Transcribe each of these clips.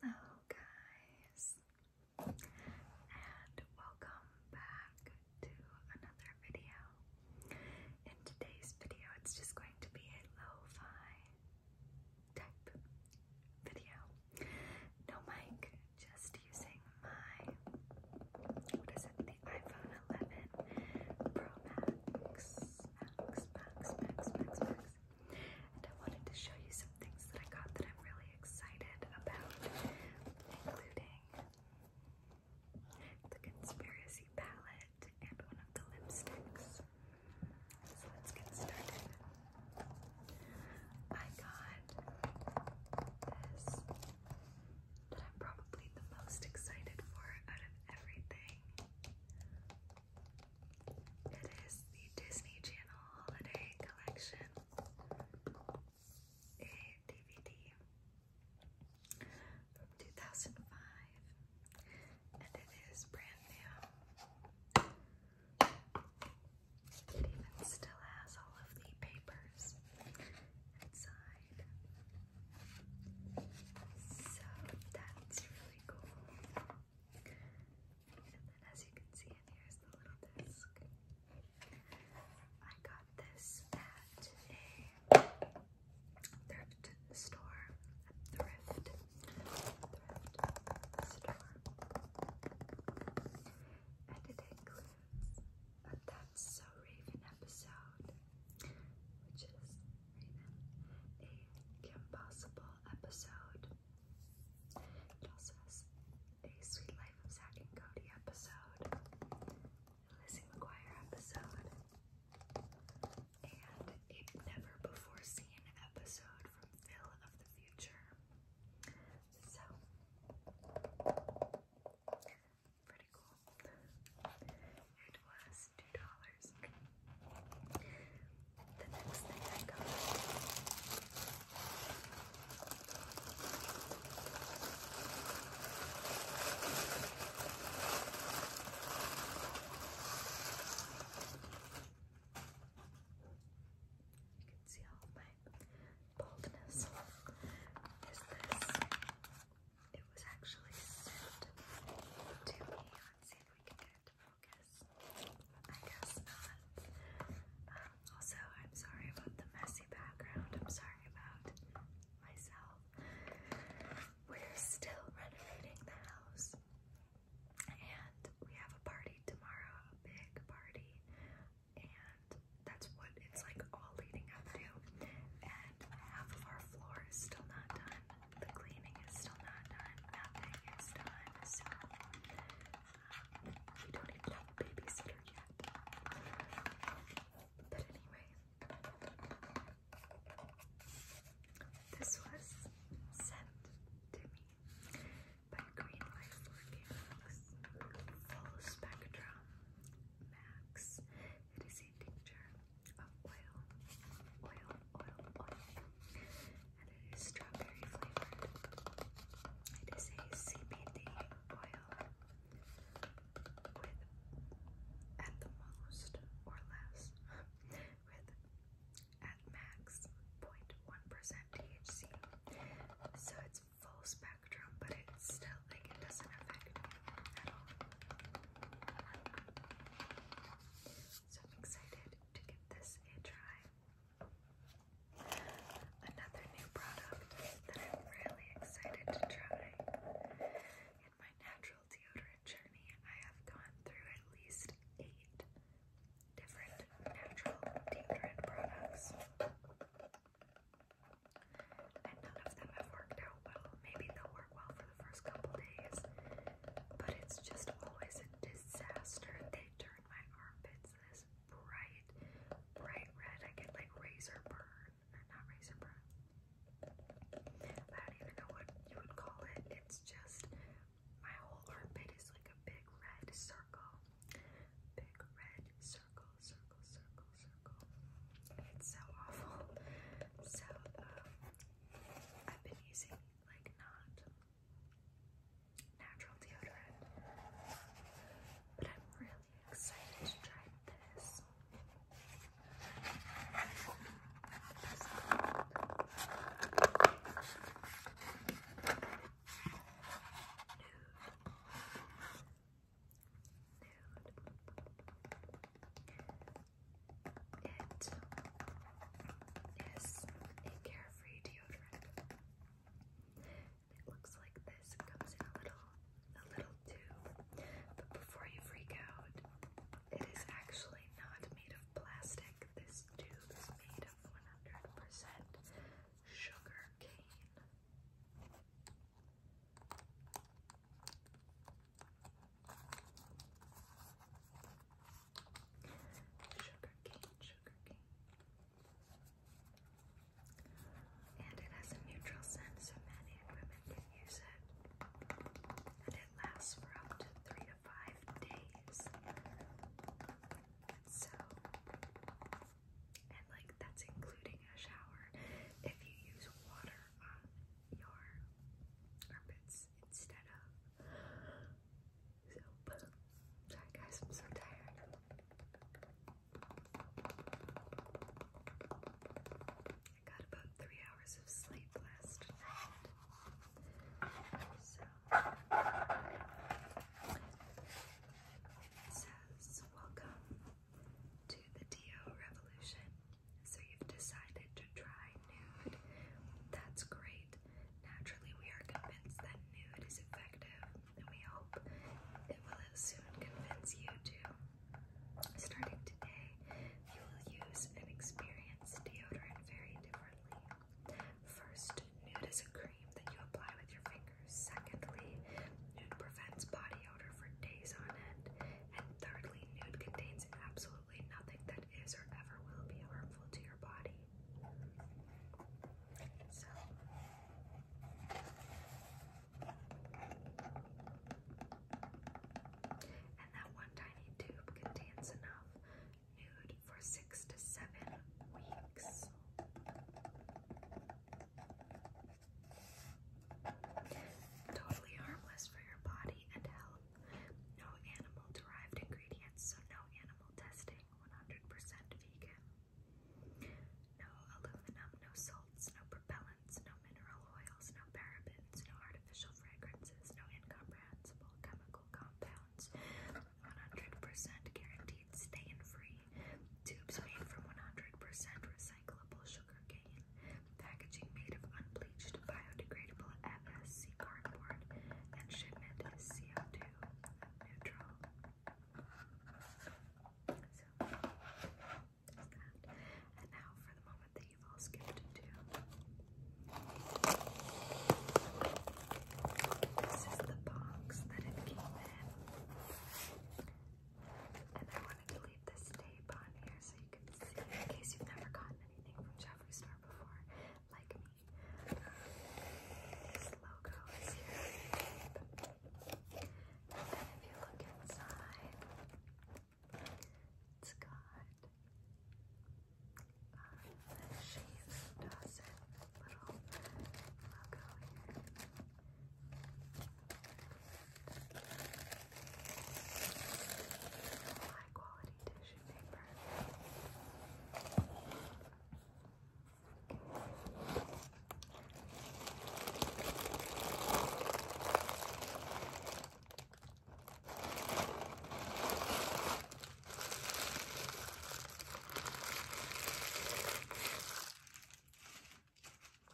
Hello, guys, and welcome back to another video. In today's video, it's just going to be a lo fi type video. No mic, just using my what is it, the iPhone 11 Pro Max. And I wanted to show you some things that I got that I'm really excited about, including the conspiracy palette and one of the lipsticks. So let's get started. I got this that I'm probably the most excited for out of everything. It is the Disney Channel Holiday Collection, a DVD from 2005, and it is brand new. It even still has all of the papers inside. So that's really cool. And then as you can see here is the little disc. I got this at a thrift store. thrift. store. And it includes a That's So Raven episode, which is a Kim episode, it also has a Sweet Life of Zack and Cody episode, Lizzie McGuire episode, and a never before seen episode from Phil of the Future. So, pretty cool. It was 2 dollars the next thing I got you can see all my boldness is this. It was actually sent to me on San we also, I'm sorry about the messy background. I'm sorry about myself. We're still renovating the house. And we have a party tomorrow, a big party. And that's what it's like all leading up to. And half of our floor is still not done the cleaning is still not done. Nothing is done, so um, we don't even have a babysitter yet. But anyway, this was sent to me by Green Life Organics Full Spectrum Max. It is a tincture oil, oil, oil, oil, and it is strawberry flavored. It is a CBD oil with at the most or less with at max 0.1% THC. So it's full spectrum, but it's still like it doesn't affect at all. So I'm excited to give this a try. Another new product that I'm really excited to try. In my natural deodorant journey, I have gone through at least eight different natural deodorant products. And none of them have worked out well. Maybe they'll work well for first couple days, but it's just always a disaster. They turn my armpits this bright, bright red. I get like razor burn, or not razor burn. I don't even know what you would call it. It's just my whole armpit is like a big red circle. Big red circle, circle, circle, circle. It's so awful. So, um, I've been using like not natural deodorant. But I'm really excited to try this. It is a carefree deodorant. It looks like this. comes in a little a little tube. But before you freak out, it is actually not made of plastic. This tube is made of 100% sugar cane. Sugar cane, sugar cane. And it has a neutral scent, so men women can use it. And it lasts for up to three to five days. So, and like that's including a shower. If you use water on your armpits, instead of Sorry guys, I'm so tired. I got about three hours of sleep last night. says welcome to the DO revolution. So you've decided to try nude. That's great. Naturally, we are convinced that nude is effective, and we hope it will soon convince you to. Starting today, you will use and experience deodorant very differently. First, nude is a cream that you apply with your fingers. Secondly, nude prevents body odor for days on end. And thirdly, nude contains absolutely nothing that is or ever will be harmful to your body. And that one tiny tube contains enough nude for six to seven weeks. Totally harmless for your body and health. No animal derived ingredients, so no animal testing. 100% vegan. No aluminum, no salts, no propellants, no mineral oils, no parabens, no artificial fragrances, no incomprehensible chemical compounds. 100% guaranteed stain free. Tubes made from 100% recyclable sugar cane. Packaging made of unbleached, biodegradable FSC cardboard, and shipment is CO2 neutral. So, And now for the moment that you've all skipped to. This is the box that it came in. And I wanted to this tape on here so you can see in case you've never gotten anything from Jeffrey Star before, like me. This logo is here. And if you look inside, it's got um, the Shave little logo here high quality tissue paper. Okay.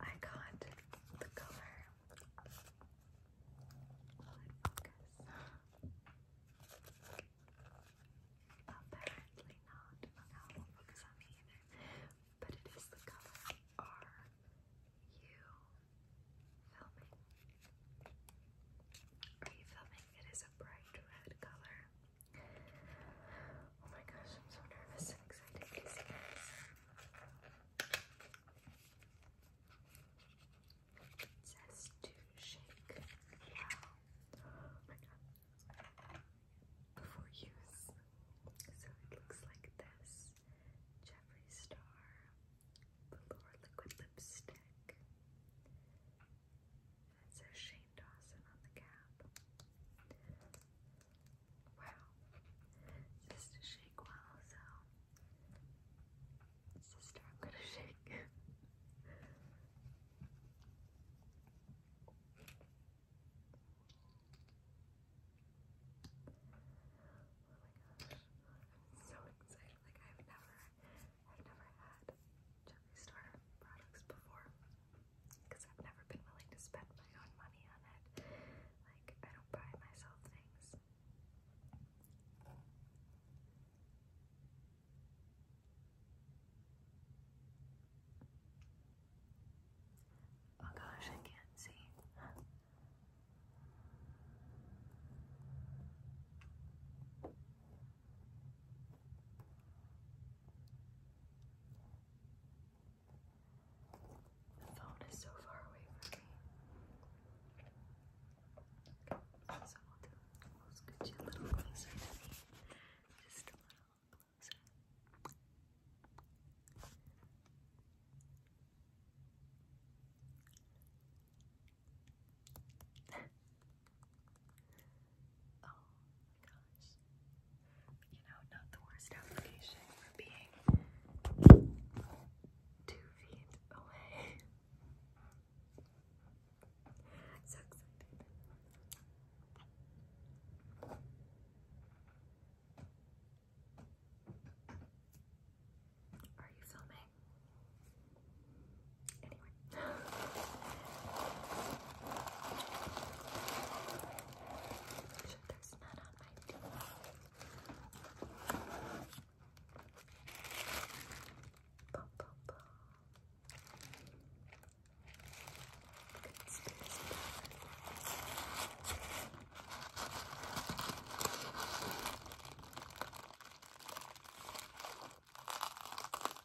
I got the color. Apparently not. Now it not focus either. But it is the color. Are you filming? Are you filming? It is a bright red color. Oh my gosh, I'm so nervous and excited to see to shake. Oh my god. Before use. So it looks like this. Jeffree Star Velour Liquid Lipstick. it says Shane Dawson on the cap. Wow. Just shake well, so sister, I'm gonna shake. Oh my gosh, I'm so excited. Like I've never I've never had Jeffree Star products before because I've never been willing to spend my own money on it. Like, I don't buy myself things. Oh gosh, I can't see. The phone is so far away from me. Okay, so I'll do I'll scooch you a little closer to me. Just a little closer. oh, you know, not the worst application for being two feet away. so Are you filming? Make sure there's none on my teeth. Boom, boom, boom. Conspiracy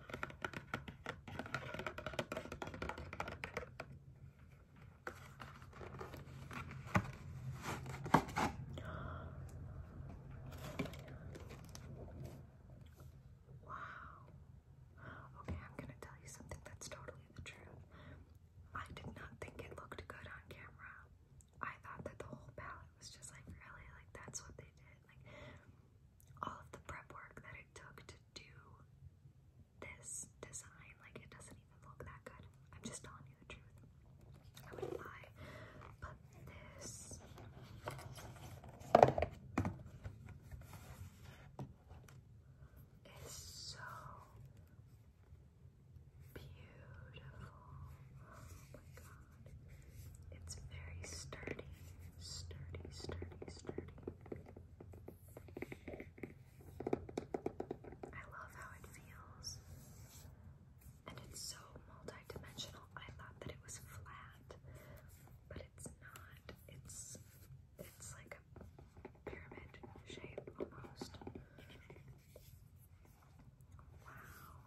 Okay, I'm gonna tell you something that's totally the truth. I did not think it looked good on camera. I thought that the whole palette was just like really like that's what they did. Like all of the prep work that it took to do this design. Like, it doesn't even look that good. I'm just telling you the truth. I wouldn't lie. But this. Is so beautiful. Oh my god. It's very sturdy, sturdy, sturdy, sturdy. I love how it feels. And it's so multi-dimensional. I thought that it was flat, but it's not. It's it's like a pyramid shape almost. Wow.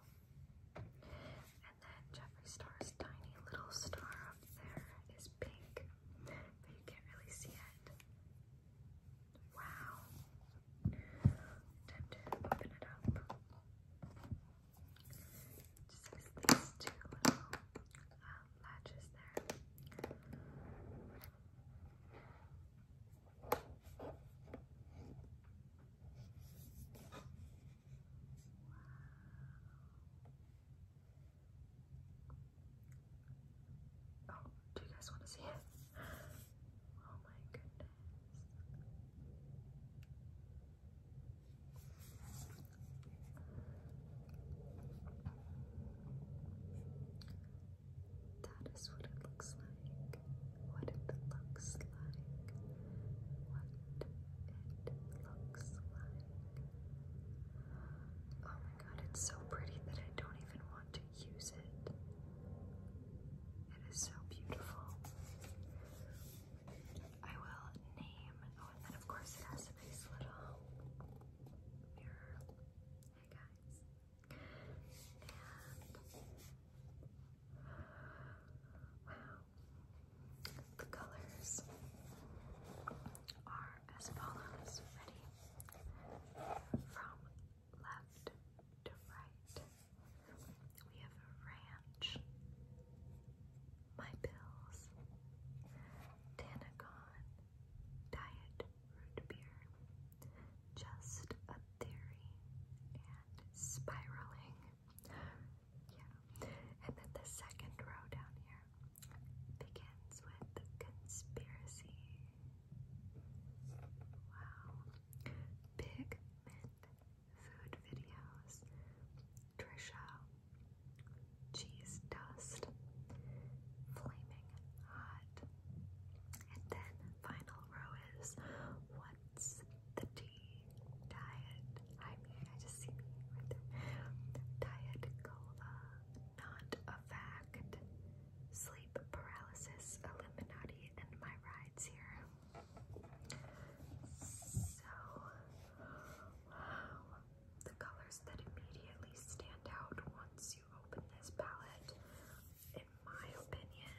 And then Jeffree Star's tiny little star up there is pink, but you can't really see it. Wow. Time to open it up. just has these two little um, latches there. Oh, do you guys want to see it? Oh my goodness. That is what it looks like what it looks like, what it looks like. Oh my god, it's so pretty that I don't even want to use it. It is so beautiful. I will name, oh, and then of course it has a nice little mirror. Hey guys. wow, the colors are as follows. Ready? From left to right, we have ranch, my pills, Tanagon, diet root beer, just a theory, and spiraling. Yeah. And then the second row down here begins with conspiracy. Wow. Big mint food videos. Trisha. Cheese dust. Flaming hot. And then final row is what's the tea diet. I mean, I just see me right Diet cola, not a fact. Sleep paralysis, Illuminati, and my rides here. So, wow. The colors that immediately stand out once you open this palette, in my opinion,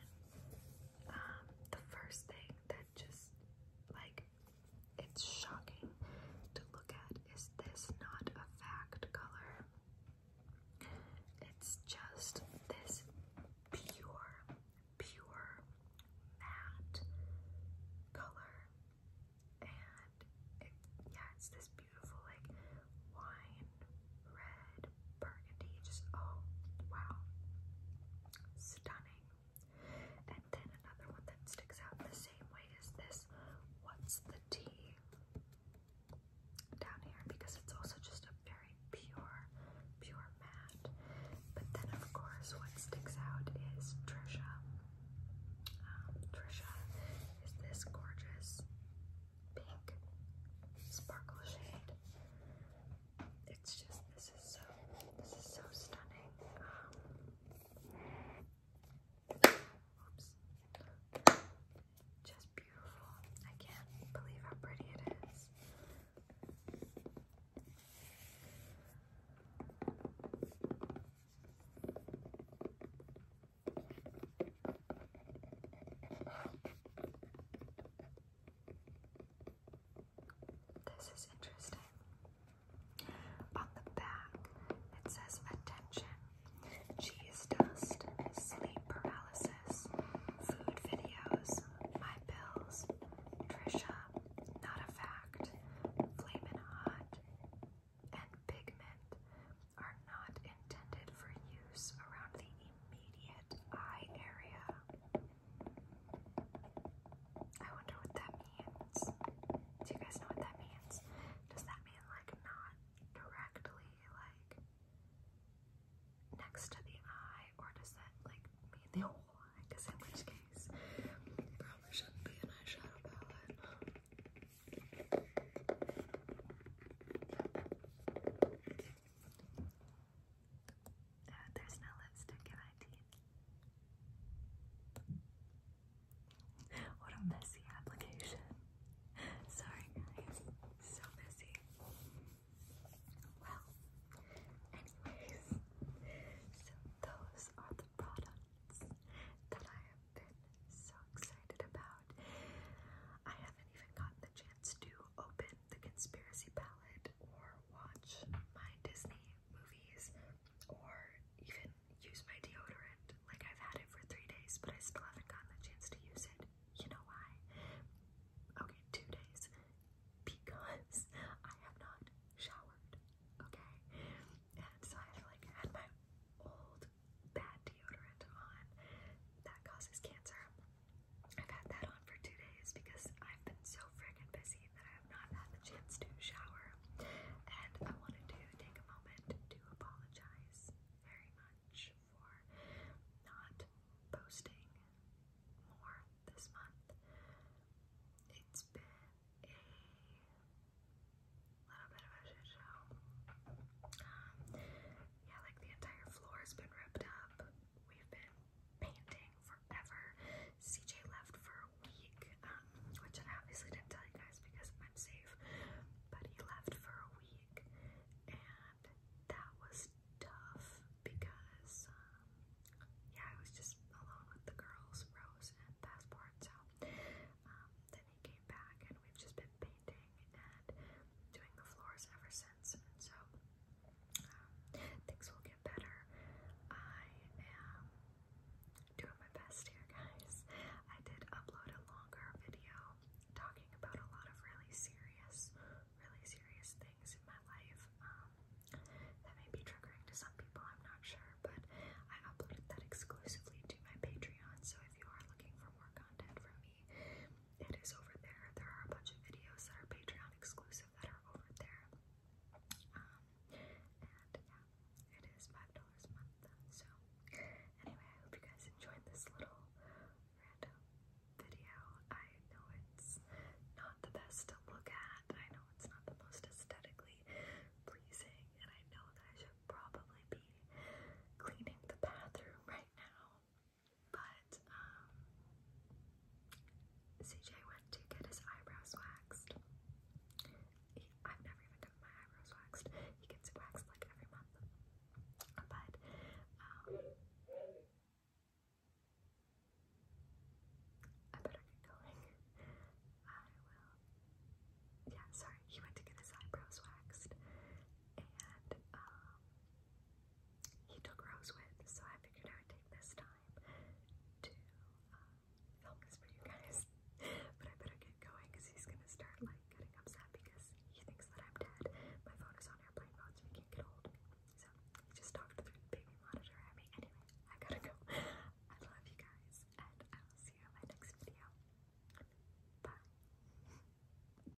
um, the first thing that just like it's shocking to look at. Is this not a fact color? It's just this pure, pure matte color, and it, yeah, it's this beautiful like wine red burgundy, just oh wow, stunning. And then another one that sticks out the same way is this What's the T down here because it's also just a very pure, pure matte. But then, of course, what sticks out is Trisha. Um, Trisha is this gorgeous pink sparkle shade it's just this is so this is so stunning. Um, just beautiful. I can't believe how pretty it is. This is interesting. On the back, it says attention. Cheese dust, sleep paralysis, food videos, my pills, Trisha, not a fact, flamin' hot, and pigment are not intended for use around the immediate eye area. I wonder what that means. Do you guys know what that means? Does that mean like not directly like next to the eye, or does that like mean the whole eye? Because in which case, probably shouldn't be an eyeshadow palette. Uh, there's no lipstick in my teeth. What a messy application. Sorry, guys. So messy. Well, anyways, so those are the products that I have been so excited about. I haven't even gotten the chance to open the conspiracy palette or watch my Disney movies or even use my deodorant. Like I've had it for three days, but I still haven't gotten the chance to use it. You know why? Okay, two days. Because I have not showered. Okay? And so i like had my old bad deodorant on that causes cancer. I've had that on for two days because I've been so friggin' busy that I have not had the chance to shower. And I wanted to take a moment to apologize very much for not posting more this month. It's been a little bit of a shit show. Um, yeah, like the entire floor has been ripped up we've been painting forever. CJ left for a week, um, which I obviously didn't tell you guys because I'm safe, but he left for a week, and that was tough because, um, yeah, I was just alone with the girls, Rose and Passport, so, um, then he came back, and we've just been painting and doing the floors ever since, and so, things will get better. I am doing my best here, guys. I did upload a longer video talking about a lot of really serious, really serious things in my life. Um, that may be triggering to some people, I'm not sure, but I uploaded that exclusively to my Patreon. So if you are looking for more content from me, it is over there. There are a bunch of videos that are Patreon exclusive that are over there. Um, and yeah, it is $5 a month. So, anyway, I hope you guys enjoyed this little random video. I know it's not the best to look at, I know it's not the most aesthetically pleasing, and I know that I should probably be cleaning the bathroom right now. But um, CJ went to get his eyebrows waxed. I've never even gotten my eyebrows waxed. He gets waxed like every month. But um, I better get going. I will. Yeah, sorry. He went to get his eyebrows waxed, and um, he took Rose with, so I figured I would take this time to uh, film this for you guys. but I better get going because he's gonna start like getting upset because he thinks that I'm dead. My phone is on airplane mode, so he can't get hold So he just talked through the baby monitor at me. Anyway, I gotta go. I love you guys, and I will see you in my next video. Bye.